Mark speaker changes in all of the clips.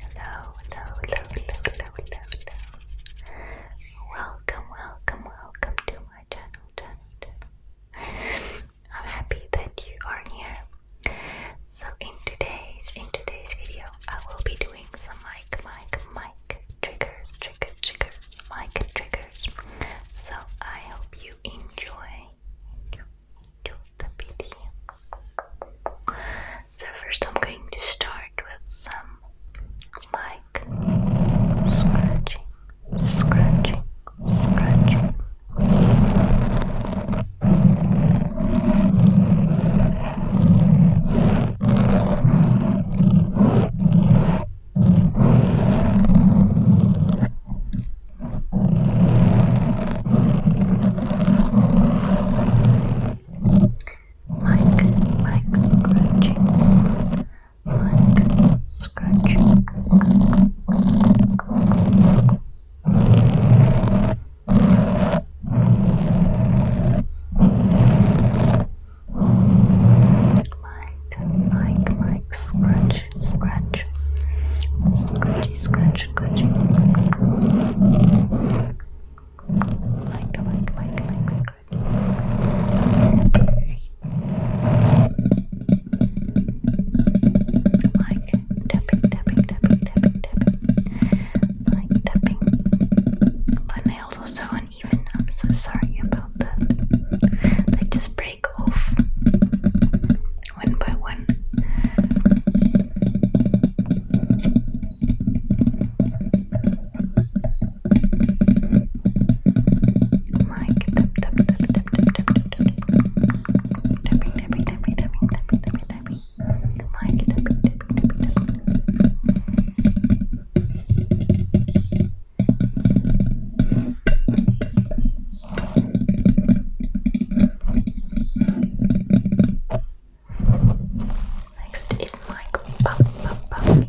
Speaker 1: Hello, hello, hello, hello, hello, hello, Welcome, welcome, welcome to my channel, I'm happy that you are here. So in today's in today's video, I will be doing some mic, mic, mic triggers, trigger, trigger, mic triggers. So I hope you enjoy. So first I'm going to start with some mic scratching, scratching, scratching. Like, like scratching, like scratching. Like, like, like, scratch, scratch, scratch scratchy, scratchy, scratchy. Like, like, like, like, scratch. Like tapping, tapping, tapping, tapping, tapping. Like tapping. My nails are so uneven. I'm so sorry about that. They just break off one by one. Mike, tap, tap, tap, tap, tap, tap, tap, tapping, tapping, tapping, tapping, tapping, tapping, tapping. Mike, tapping, tapping, tapping, tapping. Next is Mike Puff Puff Puffy.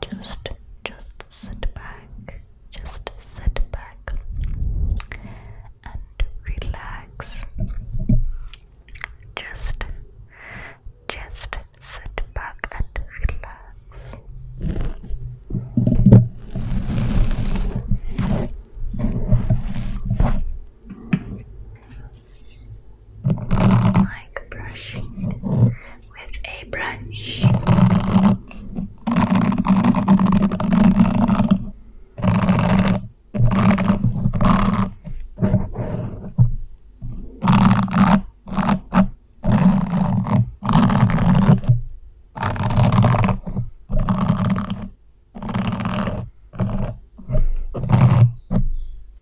Speaker 1: Just, just sit back, just sit back and relax. Just, just sit back and relax like brushing with a brush.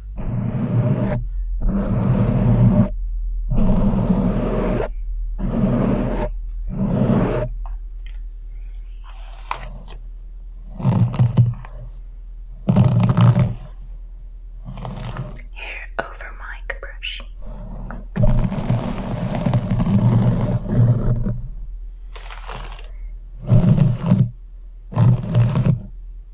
Speaker 1: Hair over mic brush.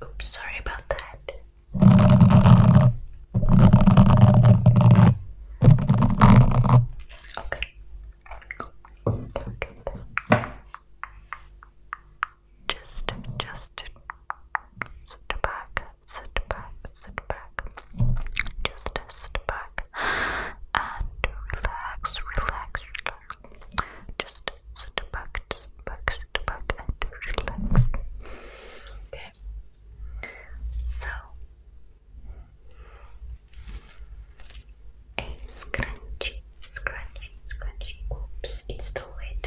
Speaker 1: Oops, sorry about that. Okay. Okay just, just sit back, sit back, sit back, just sit back and relax, relax, relax. Just sit back, sit back, sit back and relax. Okay. So. A scrunchy, scrunchy, scrunchy. Oops, it's too late.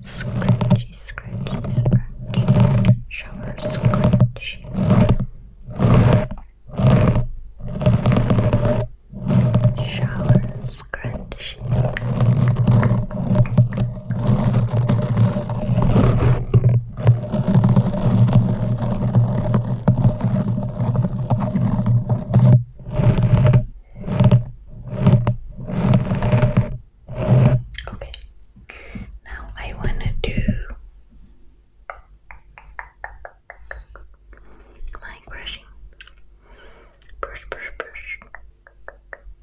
Speaker 1: Scratchy, scratchy, scratchy. Shower, scratchy shower scrunchie. Okay, now I want to do Mic brushing. Brush, brush, brush.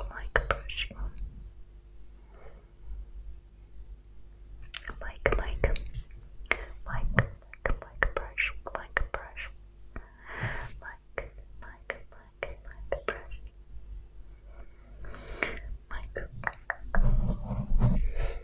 Speaker 1: Mic brushing. Mic, mic. Mic, mic, mic brush. Mic brush. Mic, mic, mic, mic brush. Mic.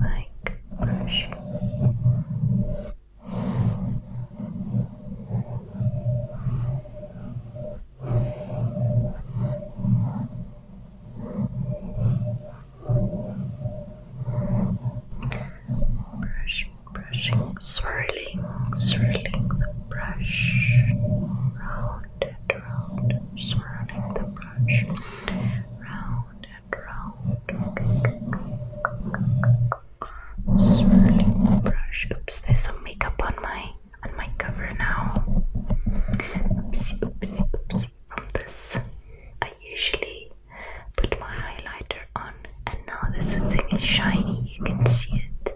Speaker 1: like brushing. Brushing, brushing, swirling, swirling the brush around round and round, swirling the brush, round and round, swirling the brush. Oops, there's some makeup on my on my cover now. Oopsie, oopsie, oopsie. From this, I usually put my highlighter on, and now this one thing is shiny. You can see it.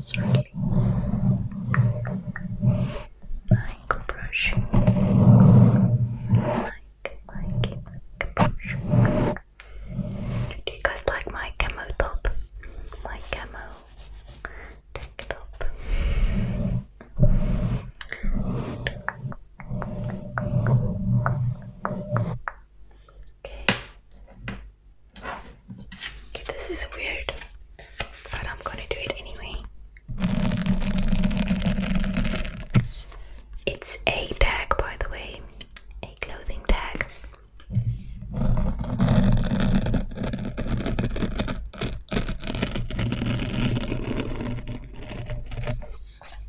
Speaker 1: Swirly. Like brush. Like, like, like brush. Do you guys like my camo top? My camo tank top. Okay. Okay, this is weird, but I'm gonna do it anyway. It's a tag, by the way, a clothing tag.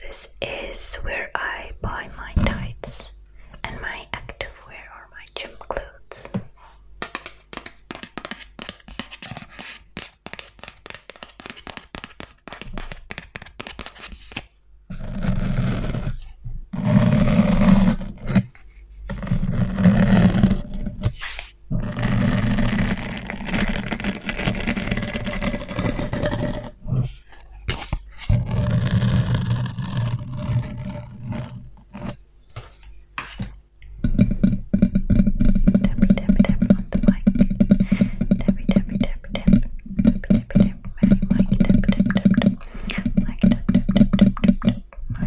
Speaker 1: This is where I buy my tights and my activewear or my gym clothes on the mic. Tappy tappy tap tap. Tappy tappy tap. Mic tap tap tap tap. Mic tap tap tap tap tap. Okay,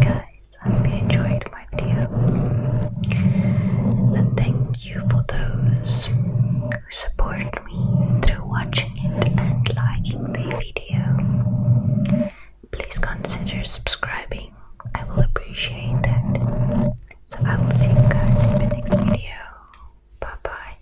Speaker 1: guys, I hope you enjoyed my video, and thank you for those who support me through watching it and liking the video. Please consider subscribing, I will appreciate that. So, I will see you guys in the next video. Bye bye.